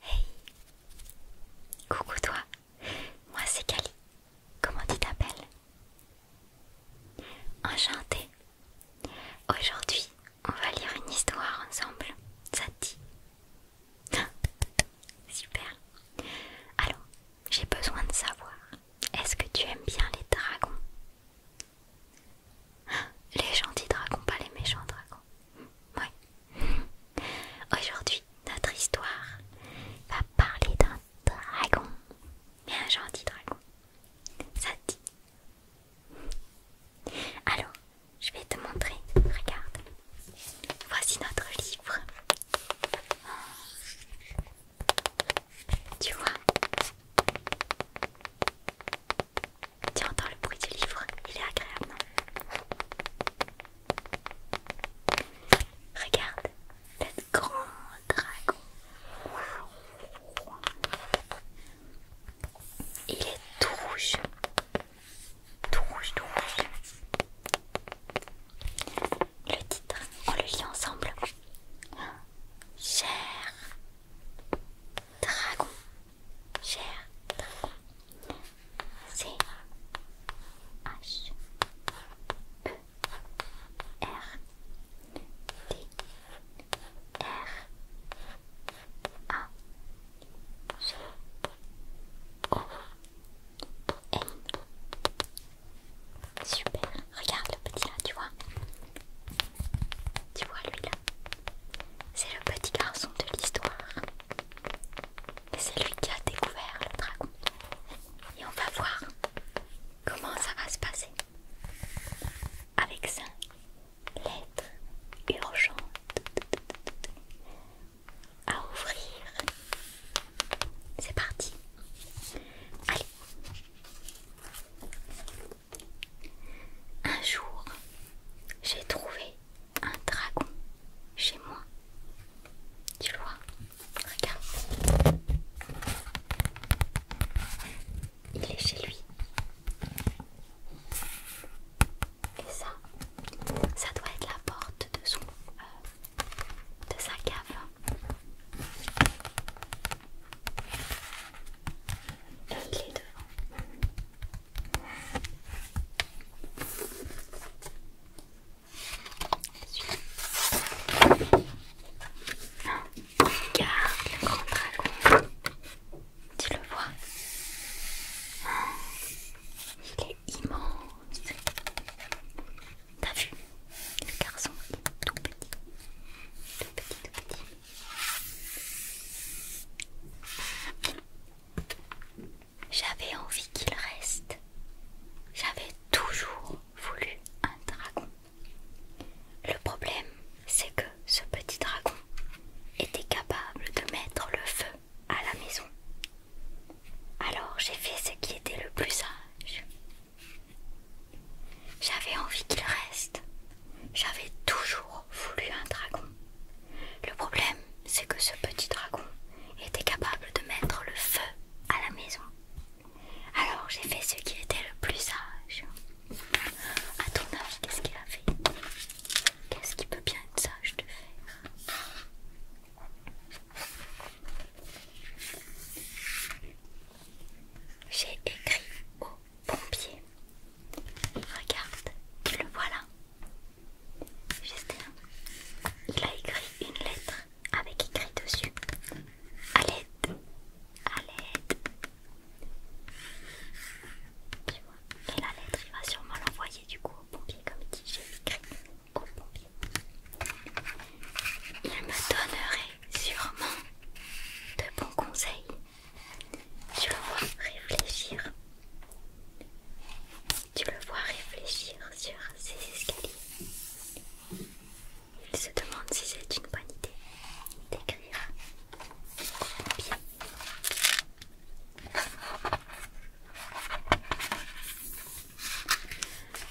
Hey Coucou toi Moi c'est Kali. Comment tu t'appelles Enchantée Aujourd'hui, on va lire une histoire ensemble. Ça te dit Super Alors, j'ai besoin de savoir, est-ce que tu aimes bien les dragons Les gentils dragons, pas les méchants dragons. Ouais. Aujourd'hui, notre histoire va parler d'un dragon, mais un gentil dragon. Ça dit Alors, je vais te montrer. Regarde, voici notre livre. Tu vois tu entends le bruit du livre, il est agréable, non Regarde, le grand dragon. Il est tout rouge. Tout rouge, tout rouge. Le titre, on le lit ensemble. Cher dragon, Cher C H E R A O N Super, regarde le petit là, tu vois Tu vois lui là C'est le petit garçon de l'histoire c'est lui qui a découvert le dragon. Et on va voir comment ça va se passer avec ça. Lettre urgente à ouvrir. C'est parti. Allez. Un jour, j'ai trouvé un dragon chez moi. Tu le vois Regarde. Il est chez lui. Et ça, ça doit être la porte de son, euh, de sa cave. il est devant regarde le grand dragon. Tu le vois Il est immense. T'as vu Le garçon est tout petit. Tout petit, tout petit. J'avais envie qu'il reste. J'avais toujours voulu un dragon. Le problème, c'est que ce petit dragon était capable de mettre le feu à la maison. Alors j'ai fait ce qui était le plus sage. J'avais envie qu'il reste, j'avais toujours voulu un dragon. Le problème, c'est que ce petit dragon était capable de mettre le feu à la maison. Alors j'ai fait ce qui était le plus sage. À ton qu'est-ce qu'il a fait Qu'est-ce qui peut bien être sage de faire J'ai écrit au pompier. Regarde, tu le voilà. Justin, il a écrit une lettre avec écrit dessus. À l'aide, à l'aide. Tu vois, et la lettre, il va sûrement l'envoyer du coup au pompier, comme il dit, j'ai écrit au pompier. Il me donnerait sûrement de bons conseils tu le vois réfléchir. Tu le vois réfléchir sur ces escaliers. Il se demande si c'est une bonne idée d'écrire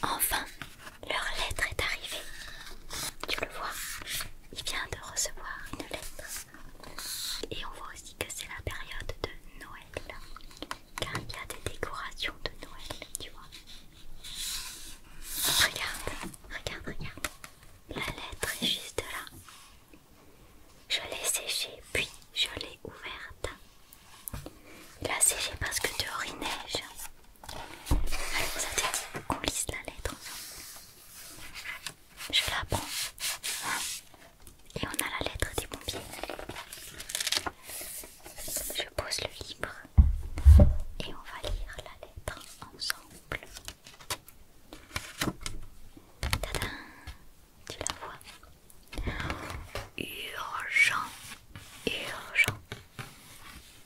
Enfin, leur lettre est arrivée. Tu le vois, il vient de recevoir une lettre. Et on voit aussi que c'est la période de Noël, car il y a des décorations de Noël, tu vois. Regarde, regarde, regarde. La lettre est juste là. Je l'ai séchée, puis je l'ai ouverte. Elle a séché parce que dehors il neige. Alors ça te dit qu'on lisse la lettre je la prends. Et on a la lettre des pompiers. Je pose le livre et on va lire la lettre ensemble. Tadam Tu la vois Urgent, urgent,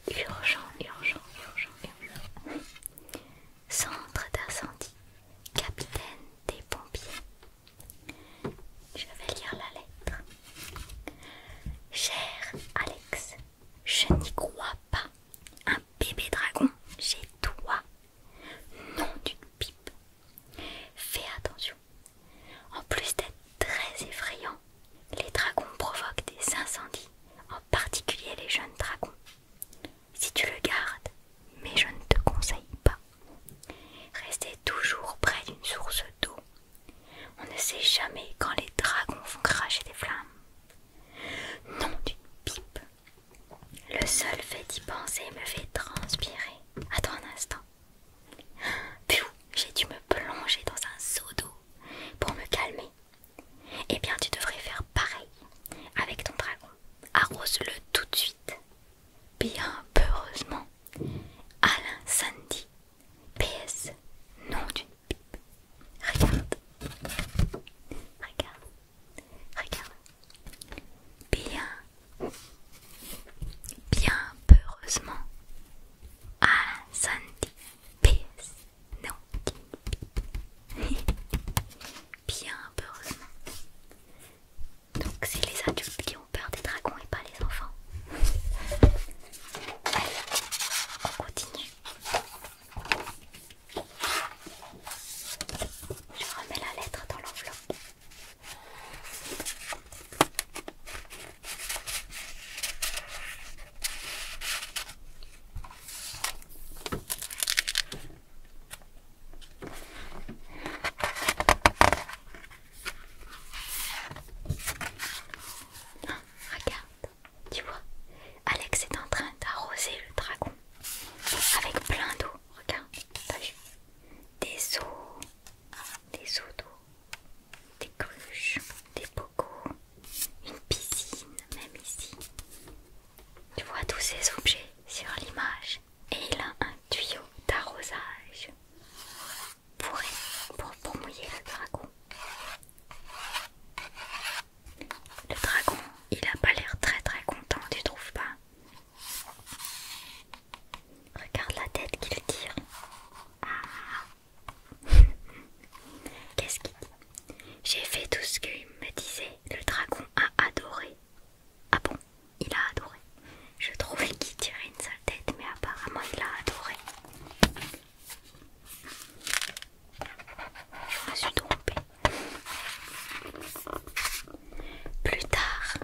urgent, urgent, urgent, urgent. Centre d'incendie, capitaine des pompiers. Je vais lire la lettre. Cher Alex, je n'y crois pas. Un bébé dragon chez toi. Nom d'une pipe. Fais attention. En plus d'être très effrayant, les dragons provoquent des incendies, en particulier les jeunes dragons si tu le gardes, mais je ne te conseille pas. Restez toujours près d'une source d'eau. On ne sait jamais quand les dragons vont cracher des flammes. Non, d'une pipe. Le seul fait d'y penser me fait transpirer. Attends un instant. j'ai dû me plonger dans un seau d'eau pour me calmer. Eh bien, tu devrais faire pareil avec ton dragon. Arrose-le tout de suite, bien heureusement Alain Sandy, PS, nom d'une pipe. Regarde, regarde, regarde. Bien, bien heureusement Alain Sandy, PS, non. Bien heureusement. Donc c'est les adultes qui ont peur des dragons et pas les enfants. Allez, on continue. Je remets la lettre dans l'enveloppe regarde, tu vois, Alex est en train d'arroser le dragon avec plein d'eau. Regarde, t'as vu Des eaux, des eaux d'eau, des cruches, des bocaux, une piscine, même ici. Tu vois tous ces objets sur l'image et il a un tuyau d'arrosage pour, pour, mouiller le dragon. Le dragon, il a pas l'air très très content, tu trouves pas Regarde la tête qu'il tire. Ah. Qu'est-ce qu'il dit j'ai fait tout ce qu'il me disait. Le dragon a adoré. Ah bon, il a adoré. Je trouvais qu'il tirait une sale tête, mais apparemment il a adoré. Je me suis trompée. Plus tard,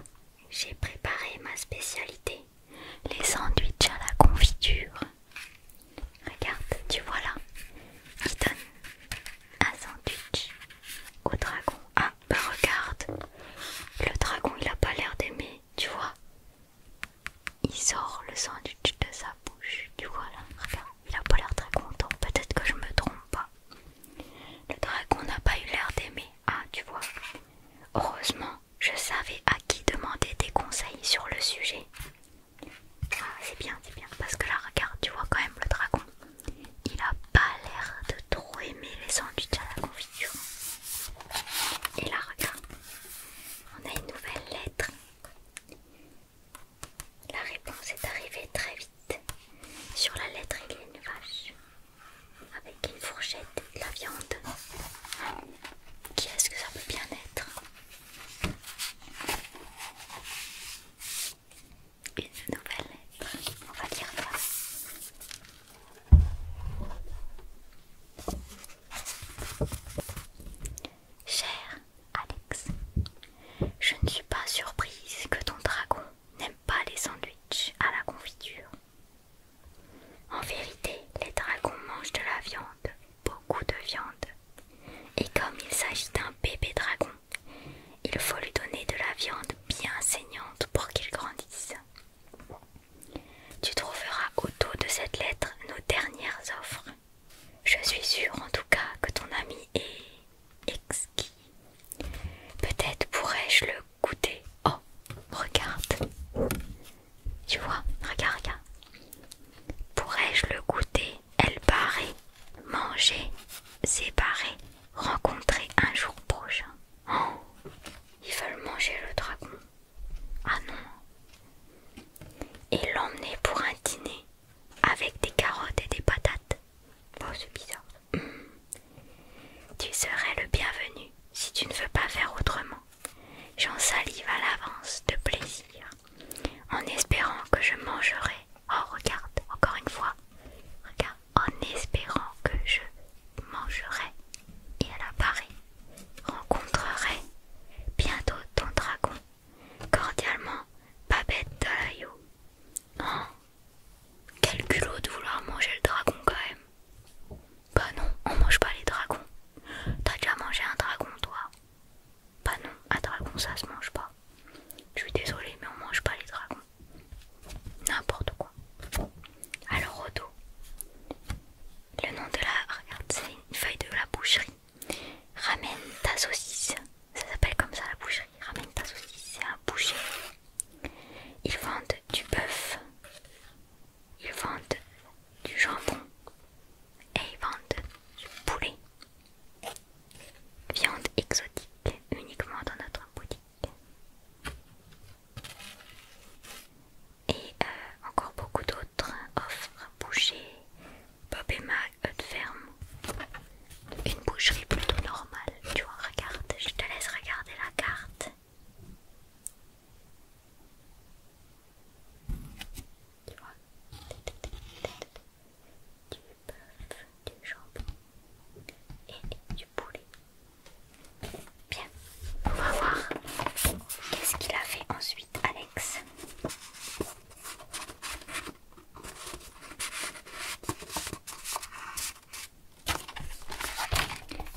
j'ai préparé ma spécialité, les sandwichs à la confiture. Regarde, tu vois là, il donne un sandwich au dragon. Ah, bah regarde, le dragon il a pas l'air d'aimer, tu vois. Il sort le sandwich de sa bouche, tu vois là, il a pas l'air très content, peut-être que je me trompe pas. Le dragon n'a pas eu l'air d'aimer, ah tu vois. Heureusement, je savais à qui demander des conseils sur le sujet. Ah, c'est bien, c'est bien. Parce que là, regarde, tu vois quand même le dragon. Il a pas l'air de trop aimer les sandwichs à la confiture. Et là, regarde, on a une nouvelle lettre. La réponse est arrivée très vite. Sur la lettre, il y a une vache avec une fourchette et de la viande. Qui est-ce que ça peut bien être une nouvelle lettre. On va dire ça. Cher Alex, je ne suis pas surprise que ton dragon n'aime pas les sandwichs à la confiture. En vérité, les dragons mangent de la viande beaucoup de viande. Et comme il s'agit d'un bébé dragon, il faut lui donner de la viande bien saignante pour qu'il grandisse. Tu trouveras au dos de cette lettre nos dernières offres. Je suis sûre en tout cas que ton ami est exquis. Peut-être pourrais-je le goûter. Oh, regarde. Tu vois, regarde. Pourrais-je le goûter, elle paraît, manger, séparer, rencontrer un jour prochain oh, Ils veulent manger le dragon. Ah non. Et l'emmener pour un dîner avec des carottes et des patates. Oh, c'est bizarre. Hmm. Tu serais le bienvenu si tu ne veux pas faire autrement. J'en salive à l'avance de plaisir en espérant que je mangerai. Oh regarde, encore une fois. Regarde, en espérant que je mangerai et à apparaît rencontrerai bientôt ton dragon. Cordialement, Babette Dalayo. Oh, quel culot de vouloir manger le dragon quand même. Bah non, on mange pas les dragons. T'as déjà mangé un dragon toi pas bah non, un ah, dragon ça se mange pas. Je suis désolée, mais on mange pas les dragons. N'importe quoi. Alors, Rodo, le nom de la. Regarde, c'est une feuille de la boucherie. Ramène ta saucisse. Ça s'appelle comme ça la boucherie. Ramène ta saucisse, c'est un boucher. Ils vendent du bœuf. Ils vendent du jambon. Et ils vendent du poulet. Viande exotique uniquement dans notre boutique. Et euh, encore beaucoup d'autres hein, offres bouchées. Bob et mac ferme. Une boucherie plutôt normale. Tu vois, regarde, je te laisse regarder la carte tu vois, du bœuf, du jambon et du poulet. Bien, on va voir qu'est-ce qu'il a fait ensuite, Alex.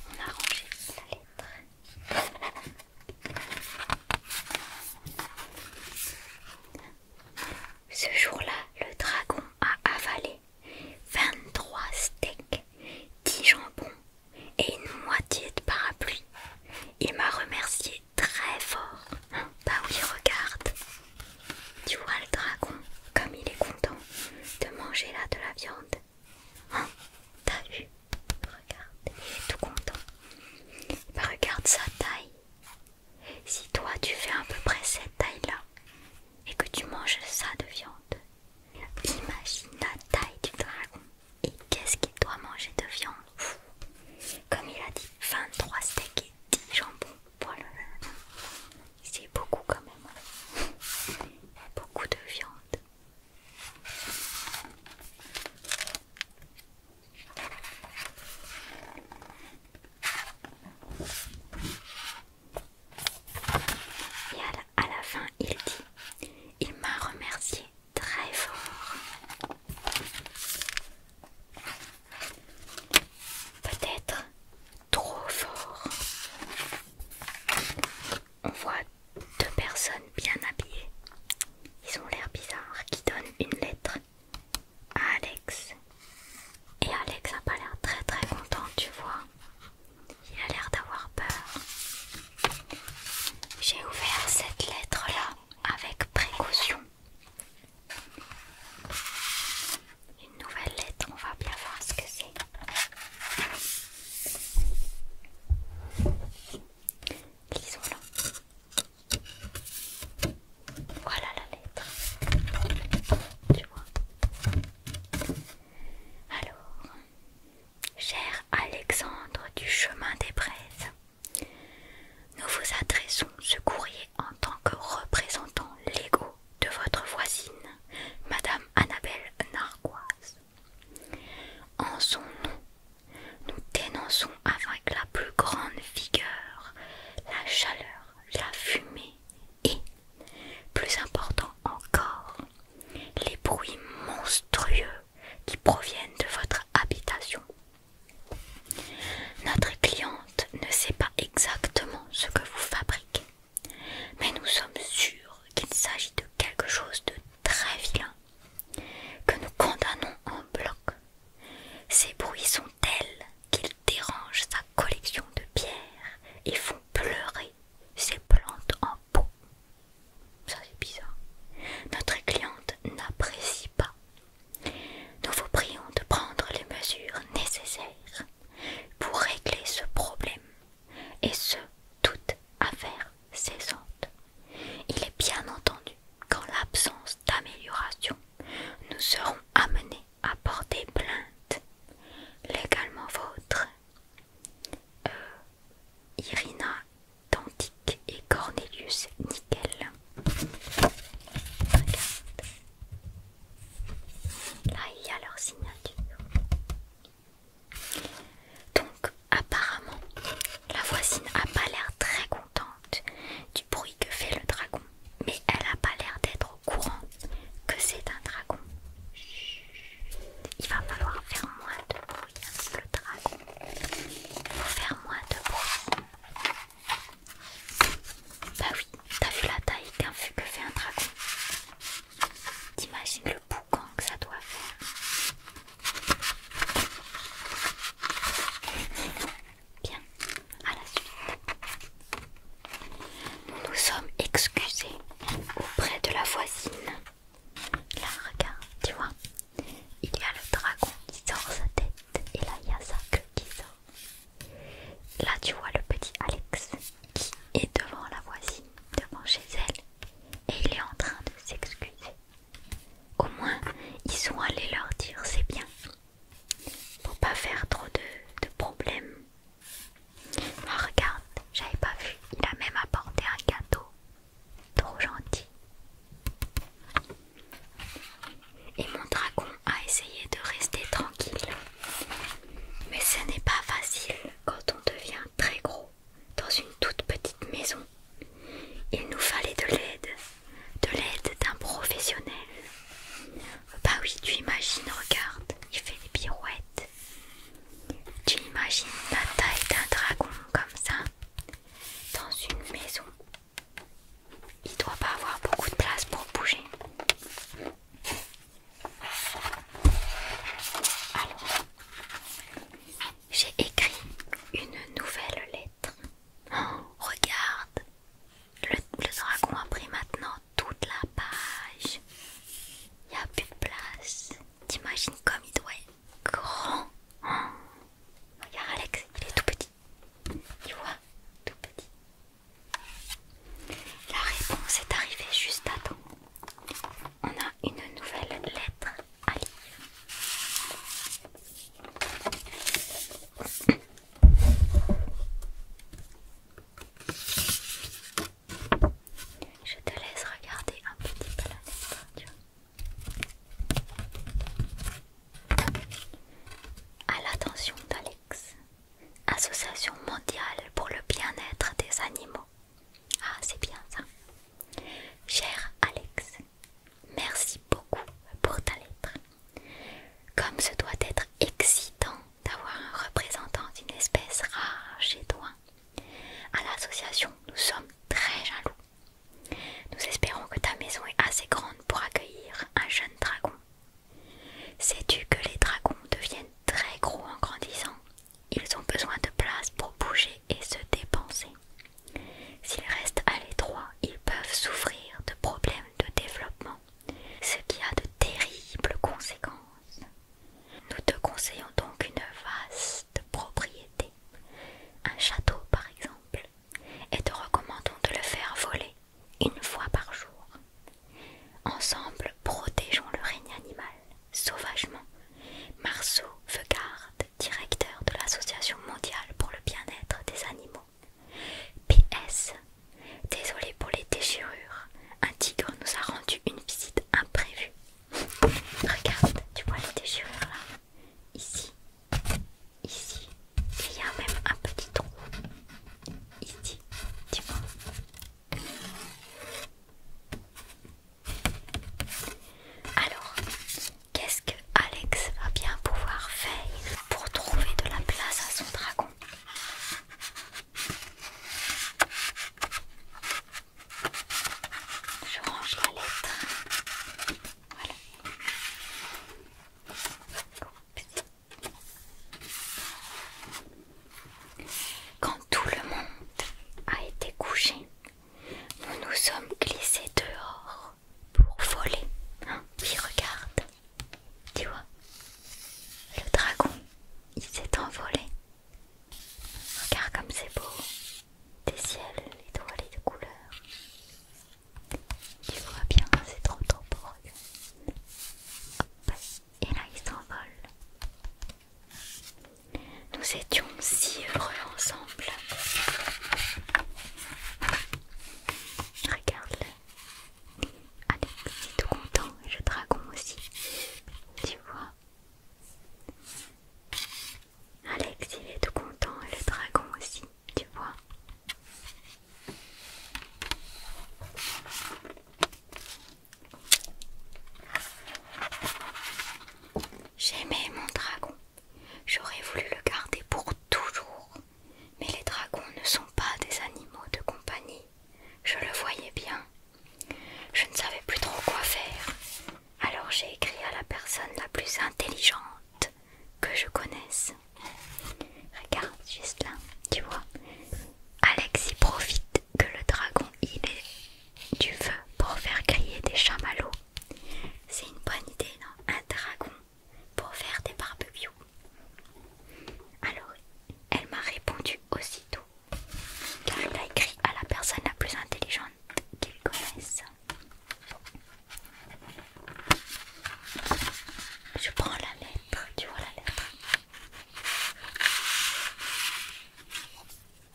On a rangé la lettre. Ce jour-là, le dragon a avalé 23 steaks, 10 jambons et une moitié de parapluie. Il m'a remercié très fort. Bah oui, regarde. Tu vois le dragon, comme il est content de manger là de la viande. Hein, t'as Regarde, il est tout content. Bah, regarde sa taille. Si toi tu fais à peu près cette taille-là et que tu manges ça de viande, imagine la taille du dragon. Et qu'est-ce qu'il doit manger de viande Comme il a dit, 23 steaks et 10 jambons. Voilà. C'est beaucoup quand même. Beaucoup de viande. Et à la, fin, il dit, il m'a remercié très fort. Peut-être trop fort. On voit deux personnes bien habillées ils ont l'air bizarres, qui donnent une lettre à Alex. Et Alex n'a pas l'air très très content, tu vois. Il a l'air d'avoir peur. J'ai ouvert cette lettre-là avec précaution. Une nouvelle lettre, on va bien voir ce que c'est. Lisons-la. Voilà la lettre. Tu vois Alors, cher Alexandre du chemin des braises, nous vous adressons ce courrier en tant que représentant l'ego de votre voisine, Madame Annabelle Narquoise. En son nom, nous dénonçons avec la plus grande vigueur la chaleur, la fumée et, plus important encore, les bruits monstrueux qui proviennent de votre habitation. Notre cliente ne sait pas exactement ce que vous fabriquez, mais nous sommes sûrs qu'il s'agit de quelque chose de très vilain que nous condamnons en bloc. Ces bruits sont tels qu'ils dérangent sa collection de pierres et font pleurer ses plantes en pot. Ça c'est bizarre. Notre cliente n'apprécie pas. Nous vous prions de prendre les mesures nécessaires pour régler ce problème et ce, toute affaire il est bien entendu qu'en l'absence d'amélioration, nous serons amenés à porter plainte. Légalement vôtre, euh, Irina Tantique et Cornelius Nickel. Regarde. Là, il y a leur signature. Donc, Apparemment, la voisine n'a pas l'air très contente du bruit que fait le dragon, mais elle n'a pas l'air d'être au courant que c'est un dragon. Il va falloir faire moins de bruit avec le dragon. faire moins de bruit. Bah oui, t'as vu la taille qu'un feu que fait un dragon T'imagines le boucan que ça doit faire Bien, à la suite. Nous sommes excusés auprès de la voisine. Là, regarde, tu vois, il y a le dragon qui sort sa tête et là, il y a sa queue qui sort. Là, tu vois le petit Alex qui est devant la voisine, devant chez elle, et il est en train de s'excuser. Au moins, ils sont allés leur dire c'est bien. Pour pas faire trop de, problèmes. Ah, regarde, j'avais pas vu. Il a même apporté un gâteau. Trop gentil. Et mon dragon a essayé de rester tranquille. Mais ce n'est pas facile quand on devient très gros dans une toute petite maison. Il nous fallait de l'aide, de l'aide d'un professionnel. Bah oui, tu imagines, regarde, il fait des pirouettes. Tu imagines la taille d'un dragon comme ça, dans une maison. Il doit pas avoir beaucoup de place pour bouger. Alors, j'ai écrit une nouvelle lettre. regarde, le, dragon a pris maintenant toute la page. Il n'y a plus de place. T'imagines comme il doit être grand. regarde Alex, il est tout petit. il voit, tout petit. La réponse est arrivée juste à temps on a une nouvelle lettre à lire. Je te laisse regarder un petit peu la lettre. À l'attention d'Alex, Association mondiale pour le bien-être des animaux. Ah, c'est bien ça. Cher Alex, merci beaucoup pour ta lettre. Comme ce doit être excitant d'avoir un représentant d'une espèce rare chez toi, à l'association nous sommes très jaloux. Nous espérons que ta maison est assez grande pour accueillir un jeune dragon. Sais-tu que les dragons deviennent très gros en grandissant Ils ont besoin de place pour bouger et se dépenser. S'ils restent à l'étroit, ils peuvent souffrir de problèmes de développement, ce qui a de terribles conséquences. Nous te conseillons donc une vaste propriété, un château par exemple, et te recommandons de le faire voler une fois par jour. Ensemble, protégeons le règne animal, sauvagement. Marceau veut garde directeur de l'Association mondiale pour le bien-être des animaux. PS. Désolé pour les déchirures. Un tigre nous a rendu une visite imprévue. Regarde, tu vois les déchirures là Ici, ici, il y a même un petit trou. Ici, tu vois alors, qu'est-ce que Alex va bien pouvoir faire pour trouver de la place à son dragon Je range la lettre. Voilà. Quand tout le monde a été couché, nous nous sommes glissés dehors pour voler. qui hein, regarde. Tu vois Le dragon, il s'est envolé. Regarde comme c'est beau. Des ciels étoilés de couleurs. Tu vois bien, c'est trop trop beau. Et là, il s'envole. Nous étions si heureux ensemble. Regarde-le. Ah, il est tout content. Le dragon aussi. Tu vois Alex, il est tout content, et le dragon aussi, tu vois. J'aimais mon dragon. J'aurais voulu le garder pour toujours. Mais les dragons ne sont pas des animaux de compagnie. Je le voyais bien. Je ne savais plus trop quoi faire. Alors j'ai écrit à la personne la plus intelligente que je connaisse. Regarde, juste là, tu vois. Alex y profite que le dragon il est du feu pour faire crier des chamallows. C'est une bonne idée, non Un dragon pour faire des barbecues. Alors, elle m'a répondu aussitôt car elle a écrit à la personne la plus intelligente qu'il connaisse Je prends la lettre, tu vois la lettre.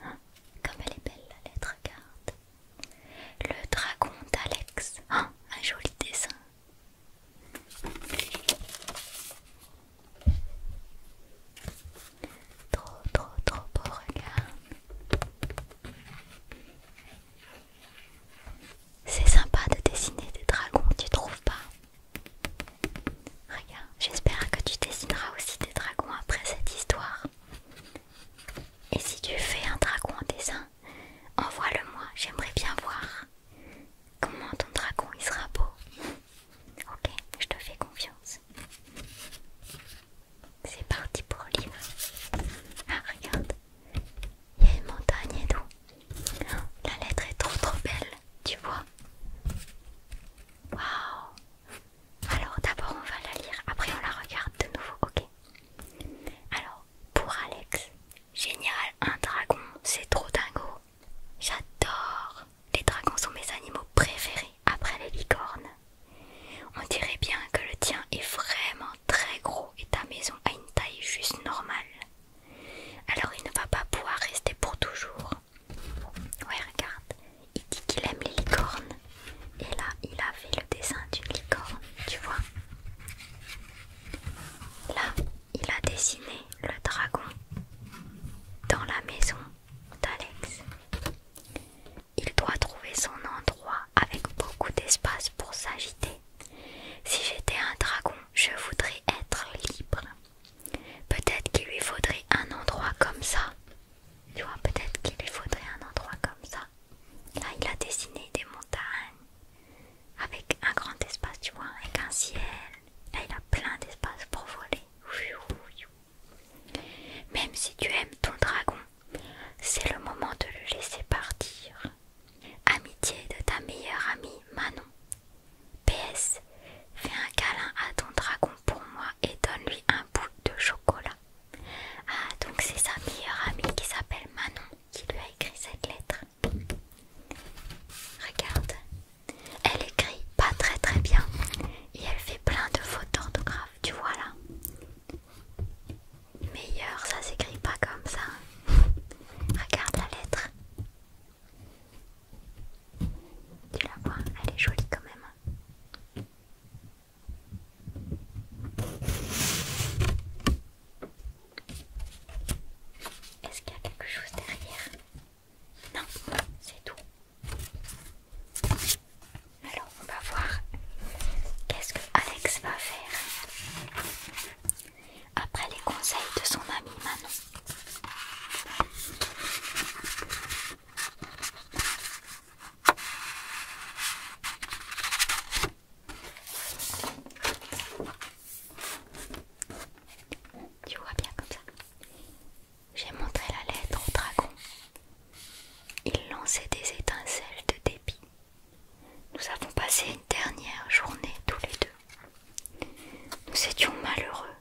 Hein comme elle est belle la lettre, regarde. Le dragon d'Alex. Hein, un joli dessin. Trop, trop, trop beau, regarde. C'est sympa de dessiner des dragons, tu trouves pas Regarde, j'espère que tu dessineras aussi des dragons après cette histoire. Et si tu fais un dragon en dessin, envoie-le-moi, j'aimerais bien voir comment ton dragon il sera beau. Ok, je te fais confiance. C'est parti pour le livre. Ah, regarde, il y a une montagne et tout. La lettre est trop trop belle, tu vois. Waouh, alors d'abord on va la lire, après on la regarde de nouveau, ok Alors, pour Alex, génial, un dragon, c'est trop dingo. J'adore Les dragons sont mes animaux préférés après les licornes. On dirait bien que le tien est vraiment très gros et ta maison a une taille juste normale. Alors il ne va pas pouvoir rester pour toujours. Ouais, regarde, il dit qu'il aime les licornes. Et là, il a fait le dessin d'une licorne, tu vois. Là, il a dessiné le dragon dans la maison d'Alex. Il doit trouver son endroit avec beaucoup d'espace pour s'agiter. Si j'étais un dragon, je voudrais être libre. Peut-être qu'il lui faudrait un endroit comme ça. Tu vois, peut-être qu'il lui faudrait un endroit comme ça. Là, il a dessiné des montagnes avec un grand espace, tu vois, avec un ciel. Là, il a plein d'espace pour voler. Même si tu aimes ton dragon, c'est le moment de le laisser partir. Amitié de ta meilleure amie Manon. PS, fais un câlin à ton dragon pour moi et donne-lui un bout de chocolat. Ah, donc c'est sa meilleure amie qui s'appelle Manon qui lui a écrit cette lettre. Regarde, elle écrit pas très très bien et elle fait plein de fautes d'orthographe, tu vois là. Meilleur, ça s'écrit pas comme ça. Hein. Regarde la lettre. Tu la vois, elle est jolie quand même. Hein. Est-ce qu'il y a quelque chose derrière Non, c'est tout. Alors on va voir qu'est-ce que Alex va faire après les conseils de son ami Manon. Tu vois bien comme ça. J'ai montré la lettre au dragon. Il lançait des étincelles de dépit. Nous avons passé une dernière journée tous les deux. Nous étions malheureux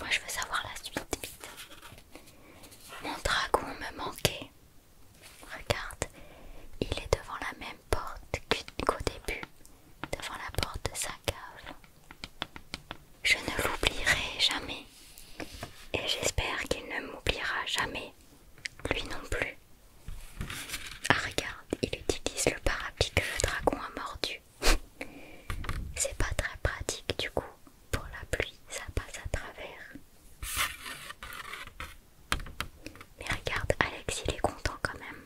Moi je veux savoir la suite Mon dragon me manquait. Regarde, il est devant la même porte qu'au début, devant la porte de sa cave. Je ne l'oublierai jamais. Et j'espère qu'il ne m'oubliera jamais. Lui non plus. Ah regarde, il utilise le parapluie que le dragon a mordu. C'est pas très pratique du coup. Pour la pluie, ça passe à travers. Mais regarde, Alex, il est content quand même.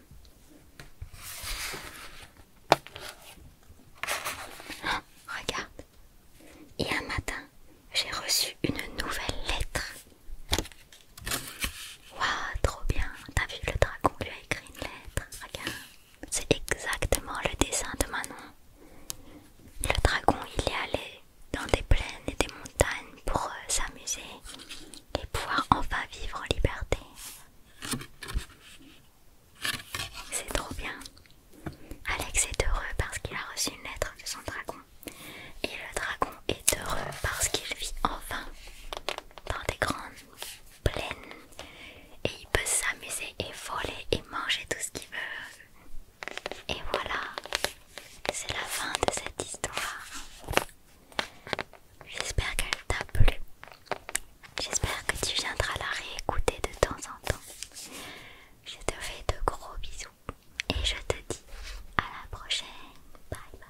regarde. Et un matin, j'ai reçu une nouvelle lettre. Waouh, trop bien. T'as vu le dragon lui a écrit une lettre. Regarde. C'est exactement le dessin de Manon. Le dragon, il est allé dans des plaines et des montagnes pour euh, s'amuser et pouvoir enfin vivre en liberté. C'est trop bien. Alex est heureux parce qu'il a reçu une lettre de son dragon. Et le dragon est heureux parce qu'il vit enfin dans des grandes pleine et il peut s'amuser et voler et manger tout ce qu'il veut. Et voilà, c'est la fin de cette histoire. J'espère qu'elle t'a plu. J'espère que tu viendras la réécouter de temps en temps. Je te fais de gros bisous et je te dis à la prochaine. Bye bye.